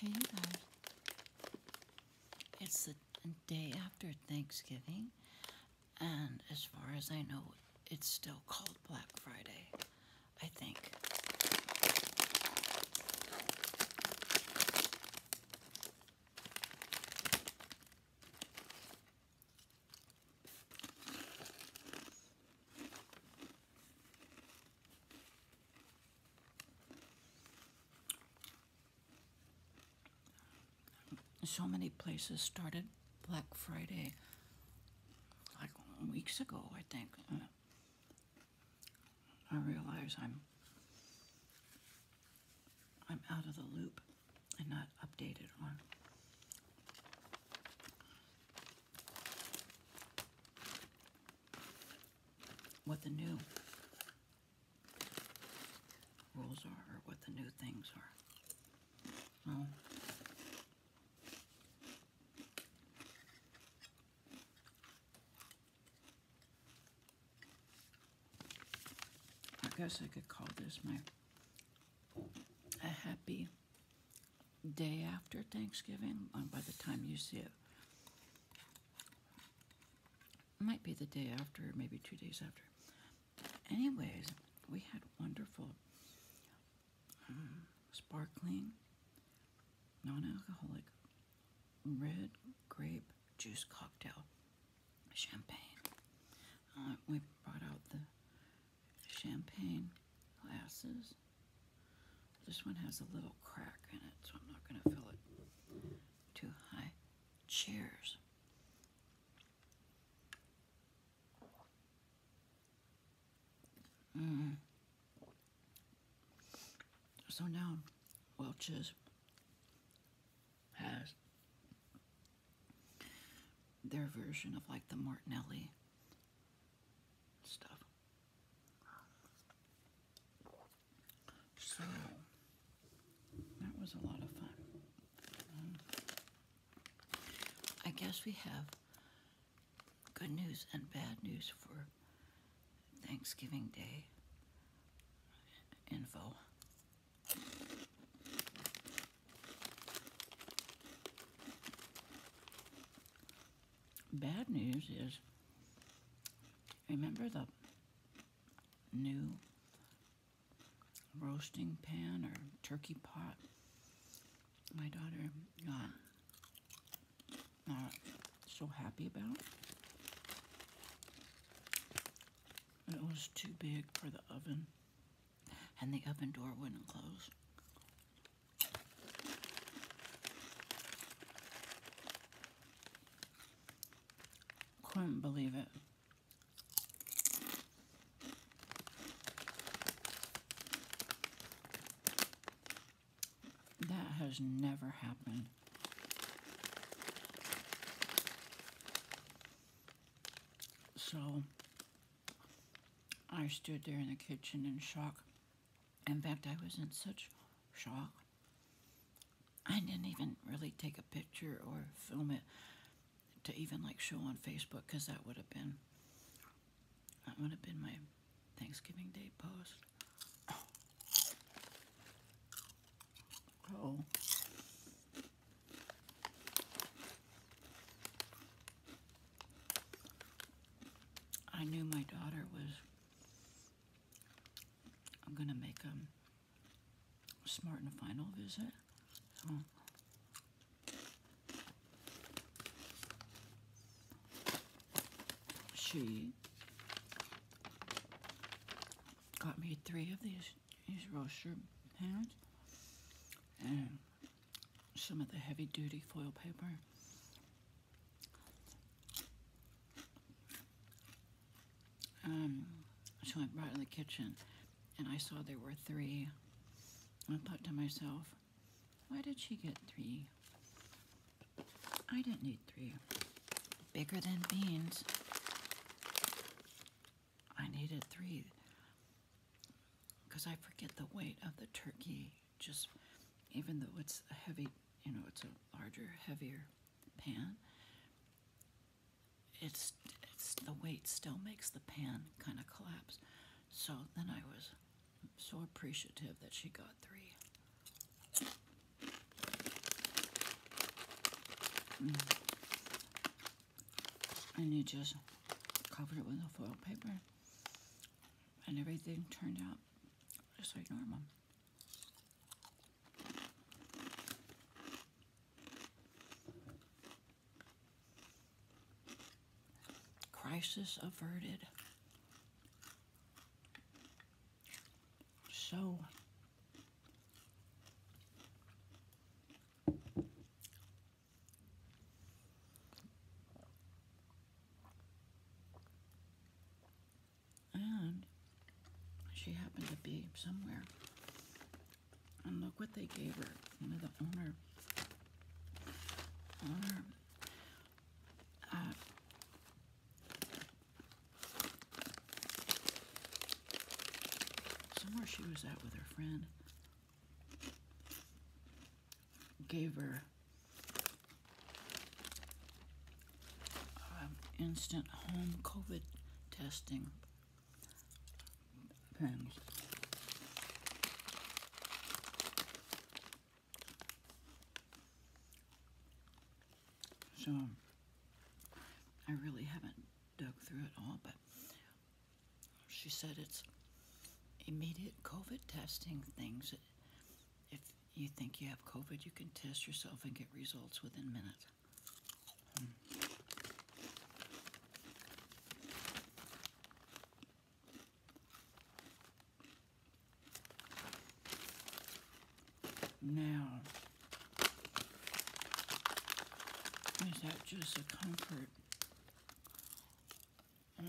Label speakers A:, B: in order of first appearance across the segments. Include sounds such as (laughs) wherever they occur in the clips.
A: Hey, guys. It's the day after Thanksgiving, and as far as I know, it's still called Black Friday, I think. So many places started Black Friday like weeks ago, I think. I realize I'm I'm out of the loop and not updated on what the new rules are or what the new things are. Oh. I guess I could call this my a happy day after Thanksgiving, um, by the time you see it. might be the day after, maybe two days after. Anyways, we had wonderful um, sparkling, non alcoholic red grape juice cocktail champagne. Uh, we brought out the champagne glasses. This one has a little crack in it, so I'm not going to fill it too high. Cheers. Mm-hmm. So now Welch's has their version of like the Martinelli stuff. So that was a lot of fun. Um, I guess we have good news and bad news for Thanksgiving Day info. Bad news is, remember the new roasting pan or turkey pot my daughter got uh, so happy about? It was too big for the oven and the oven door wouldn't close. Couldn't believe it. That has never happened. So I stood there in the kitchen in shock. In fact, I was in such shock. I didn't even really take a picture or film it to even like show on Facebook because that would have been that would have been my Thanksgiving Day post. Oh. I knew my daughter was. I'm gonna make um smart and final visit. she got me three of these these roaster pans and some of the heavy duty foil paper. Um, so I brought in the kitchen and I saw there were three. I thought to myself, why did she get three? I didn't need three. Bigger than beans. I needed three because I forget the weight of the turkey, just even though it's a heavy, you know, it's a larger, heavier pan. It's, it's the weight still makes the pan kind of collapse. So then I was so appreciative that she got three. Mm and you just covered it with a foil paper and everything turned out just like normal. Crisis averted. So and she happened to be somewhere. And look what they gave her. One of the owner, owner uh, Somewhere she was at with her friend gave her um, instant home COVID testing things. So I really haven't dug through it all, but she said it's immediate COVID testing things. If you think you have COVID, you can test yourself and get results within minutes. Now, is that just a comfort? Uh,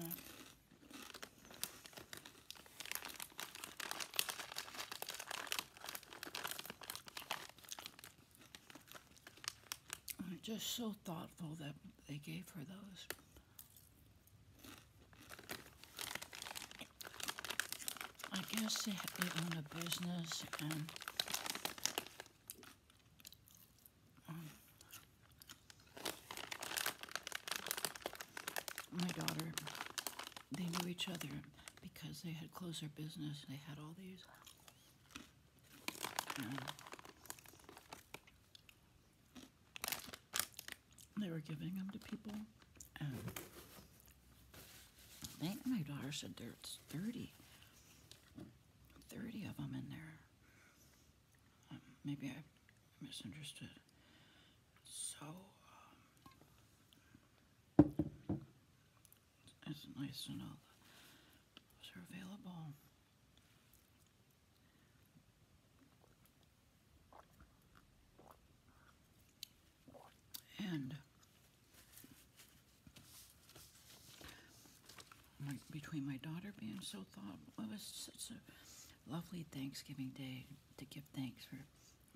A: just so thoughtful that they gave her those. I guess they, they own a business and um, my daughter, they knew each other because they had closer business. They had all these. they were giving them to people, and I think my daughter said there's 30, of them in there. Um, maybe I misunderstood. So, um, it's nice to know those are available. And between my daughter being so thoughtful, it was such a lovely Thanksgiving day to give thanks for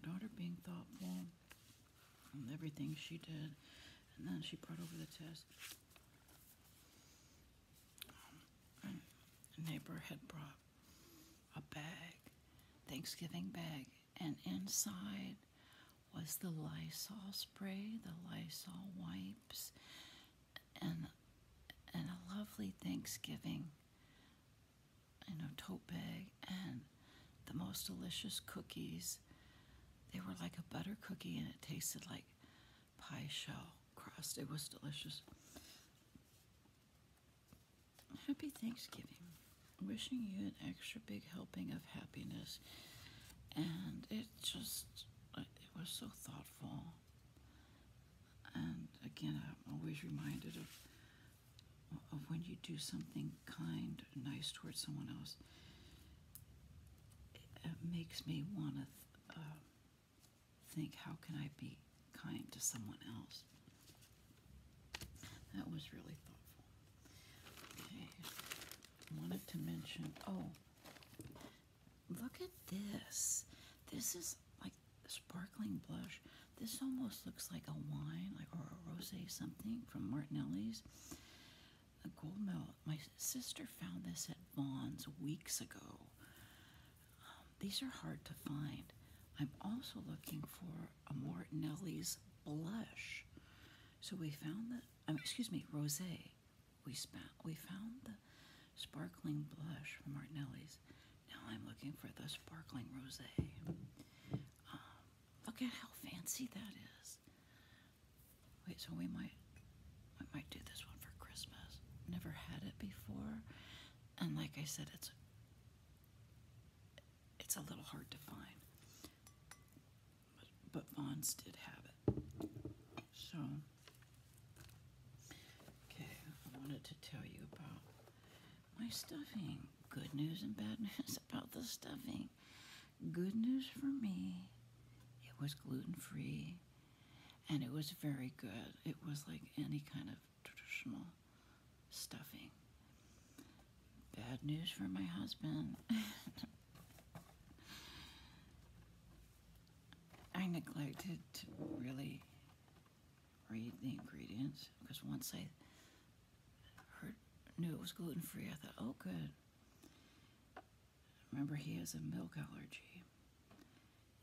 A: daughter being thoughtful and everything she did. And then she brought over the test. a neighbor had brought a bag, Thanksgiving bag, and inside was the Lysol spray, the Lysol wipes, and and a lovely Thanksgiving, you know, tote bag, and the most delicious cookies. They were like a butter cookie, and it tasted like pie shell crust. It was delicious. Happy Thanksgiving. Wishing you an extra big helping of happiness. And it just, it was so thoughtful. And again, I'm always reminded of, of when you do something kind, nice towards someone else. It, makes me want to th uh, think, how can I be kind to someone else. That was really thoughtful. Okay, wanted to mention, oh, look at this. This is like sparkling blush. This almost looks like a wine like or a rosé something from Martinelli's. A gold medal. My sister found this at Vaughn's weeks ago. Um, these are hard to find. I'm also looking for Mortinelli's blush. So we found the, excuse me, rosé. We, spa- we found the sparkling blush from Martinelli's. Now I'm looking for the sparkling rosé. Um, look at how fancy that is. Wait, so we might, we might do this one for Christmas. Never had it before, and like I said, it's it's a little hard to find. But, but Vaughn's did have it. So, okay, I wanted to tell you about my stuffing. Good news and bad (laughs) news about the stuffing. Good news for me, it was gluten free and it was very good. It was like any kind of traditional stuffing. Bad news for my husband. (laughs) I neglected to really read the ingredients because once I heard, knew it was gluten free, I thought, oh, good. Remember, he has a milk allergy.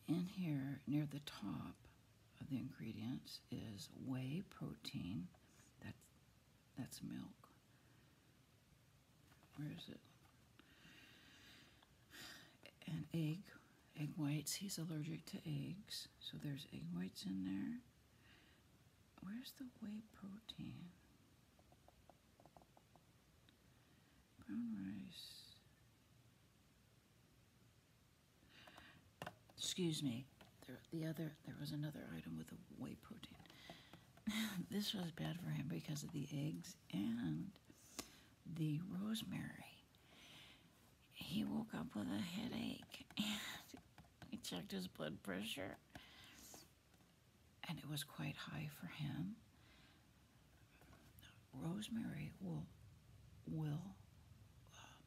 A: In here, near the top of the ingredients, is whey protein. That's, that's milk. Where is it? An egg, egg whites. He's allergic to eggs, so there's egg whites in there. Where's the whey protein?
B: Brown rice.
A: Excuse me. There, the other there was another item with a whey protein. (laughs) this was bad for him because of the eggs and the rosemary. He woke up with a headache (laughs) and we checked his blood pressure and it was quite high for him rosemary will will uh,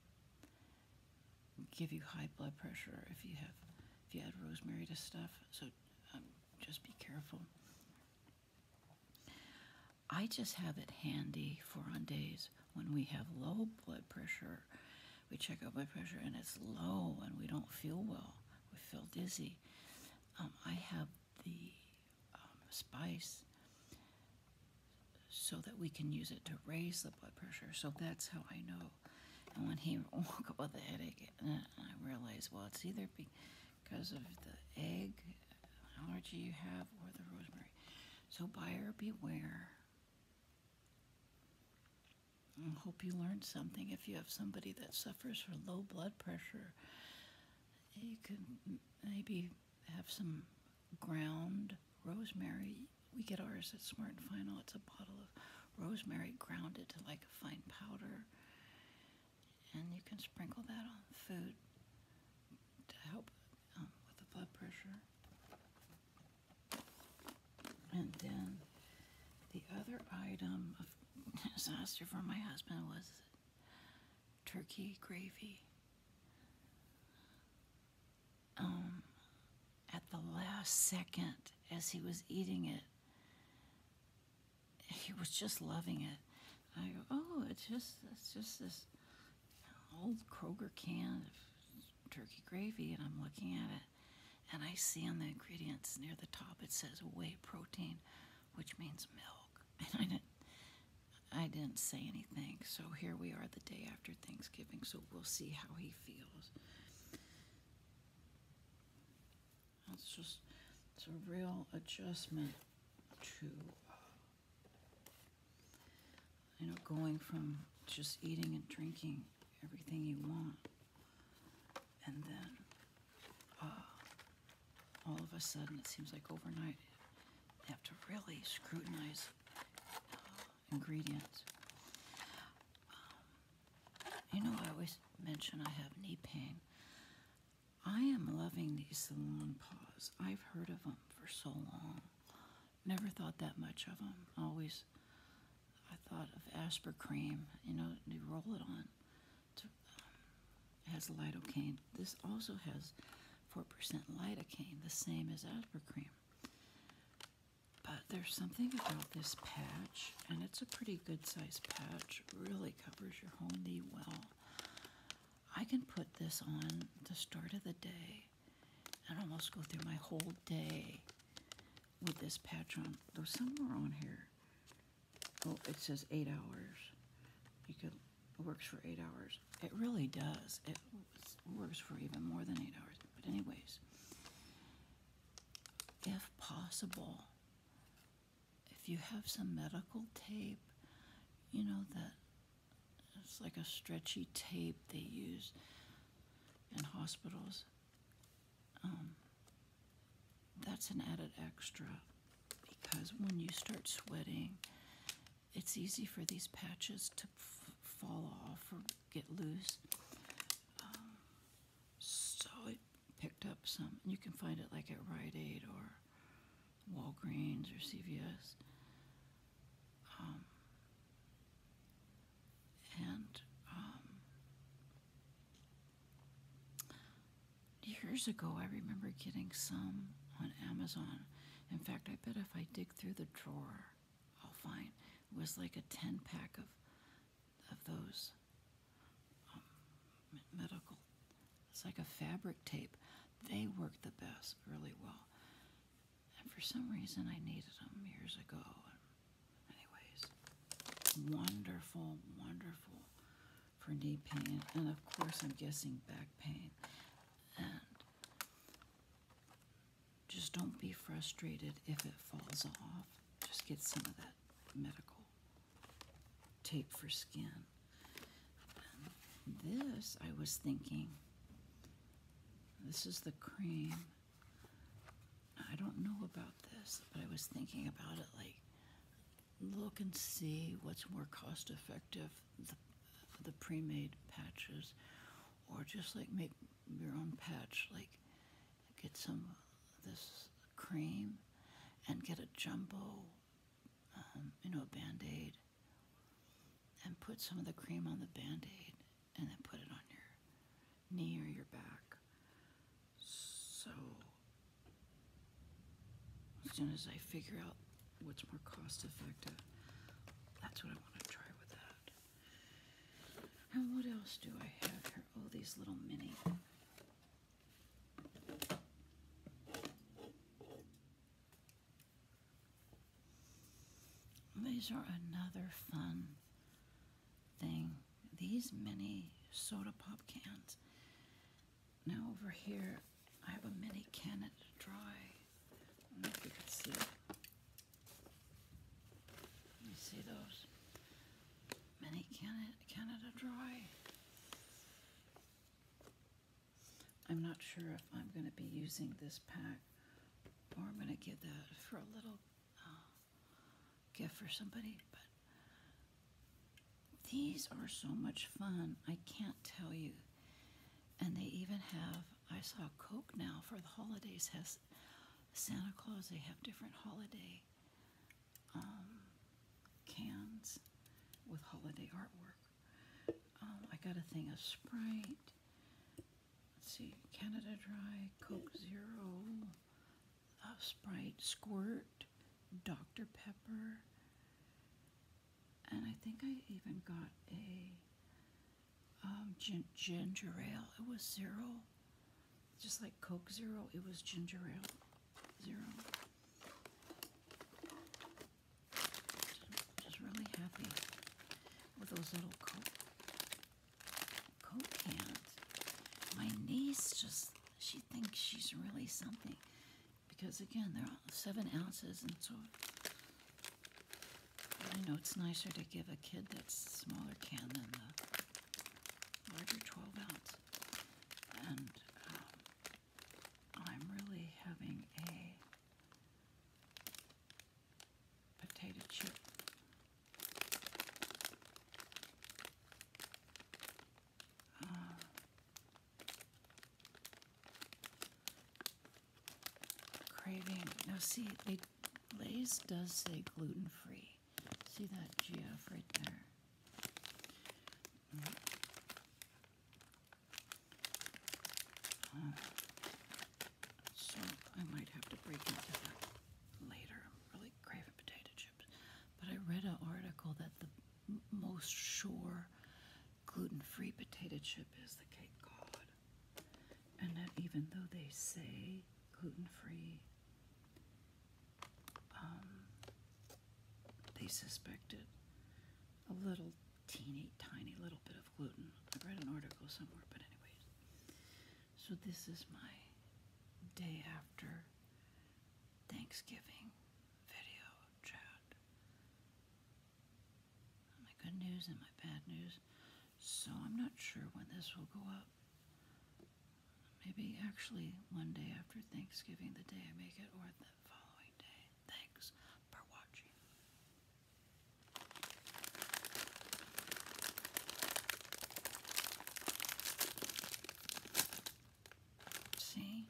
A: give you high blood pressure if you have if you add rosemary to stuff. So um, just be careful. I just have it handy for on days when we have low blood pressure. We check our blood pressure and it's low and we don't feel well. We feel dizzy. Um, I have the um, spice so that we can use it to raise the blood pressure. So that's how I know. And when he (laughs) woke up with a headache, uh, I realized, well, it's either because of the egg allergy you have or the rosemary. So buyer beware. hope you learned something. If you have somebody that suffers from low blood pressure, you can maybe have some ground rosemary. We get ours at Smart and Final. It's a bottle of rosemary grounded to like a fine powder. And you can sprinkle that on food to help um, with the blood pressure. And then the other item of (laughs) disaster for my husband was turkey gravy. Um, at the last second, as he was eating it, he was just loving it. I go, oh, it's just it's just this old Kroger can of turkey gravy, and I'm looking at it, and I see on the ingredients near the top it says whey protein, which means milk, (laughs) and I didn't I didn't say anything. So here we are the day after Thanksgiving, so we'll see how he feels. It's just it's a real adjustment to uh, you know going from just eating and drinking everything you want and then Oh, all of a sudden, it seems like overnight, you have to really scrutinize uh, ingredients. Um, you know, I always mention I have knee pain. I am loving these salon paws. I've heard of them for so long. Never thought that much of them. Always, I thought of Asper cream, you know, you roll it on to, um, has lidocaine. This also has 4% lidocaine, the same as Asper cream. But there's something about this patch, and it's a pretty good size patch. Really covers your whole knee well. I can put this on the start of the day and almost go through my whole day with this patch on. Though somewhere on here, oh, it says eight hours. You could it works for eight hours. It really does. It works for even more than eight hours. But anyways, if possible, if you have some medical tape, you know that it's like a stretchy tape they use in hospitals. Um, that's an added extra because when you start sweating, it's easy for these patches to fall off or get loose. Um, so it picked up some. You can find it like at Rite Aid or Walgreens or CVS. Um, and um, Years ago, I remember getting some on Amazon. In fact, I bet if I dig through the drawer, I'll find it was like a 10 pack of, of those um, medical. It's like a fabric tape. They work the best, really well. And for some reason, I needed them years ago. Anyways, wonderful, wonderful for knee pain, and of course, I'm guessing back pain. just don't be frustrated if it falls off. Just get some of that medical tape for skin. this, I was thinking, this is the cream. I don't know about this, but I was thinking about it like look and see what's more cost effective, the, the pre-made patches, or just like make your own patch, like get some this cream and get a jumbo, um, you know, a band-aid and put some of the cream on the band-aid and then put it on your knee or your back so, as soon as I figure out what's more cost effective, that's what I want to try with that. And what else do I have here? Oh, these little mini. These are another fun thing. These mini soda pop cans. Now over here, I have a mini can at dry. I you see those? Mini Canada, Canada Dry. I'm not sure if I'm going to be using this pack or I'm going to give that for a little uh, gift for somebody, but these are so much fun. I can't tell you. And they even have, I saw Coke now for the holidays has Santa Claus. They have different holiday um, cans with holiday artwork. Um, I got a thing of Sprite. Let's see, Canada Dry, Coke Zero, of Sprite, Squirt, Dr. Pepper, and I think I even got a um, ginger ale. It was zero, just like Coke Zero, it was ginger ale zero. Just really happy with those little Cocant. My niece just, she thinks she's really something. Because again, they're seven ounces, and so I know it's nicer to give a kid that smaller can than the larger 12 ounce. And um, I'm really having a potato chip uh, craving. Now, see, they, Lay's does say gluten free. See that GF right there? Mm. Uh, so, I might have to break into that later. really really craving potato chips. But I read an article that the most sure gluten-free potato chip is the Cape Cod. And that even though they say gluten-free, um, they suspected a little teeny tiny little bit of gluten. I read an article somewhere, but anyways. So, this is my day after Thanksgiving video chat. My good news and my bad news. So, I'm not sure when this will go up. Maybe actually one day after Thanksgiving, the day I make it, or the following day. Thanks for watching. See?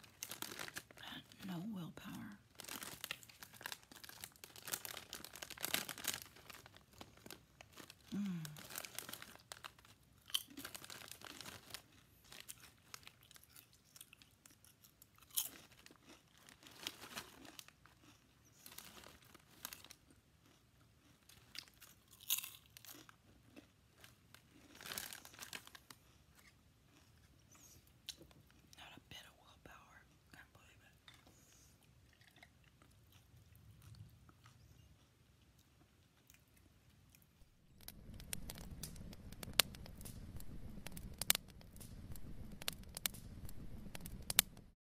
A: No willpower. Mm. Not a bit of willpower. Can't believe it.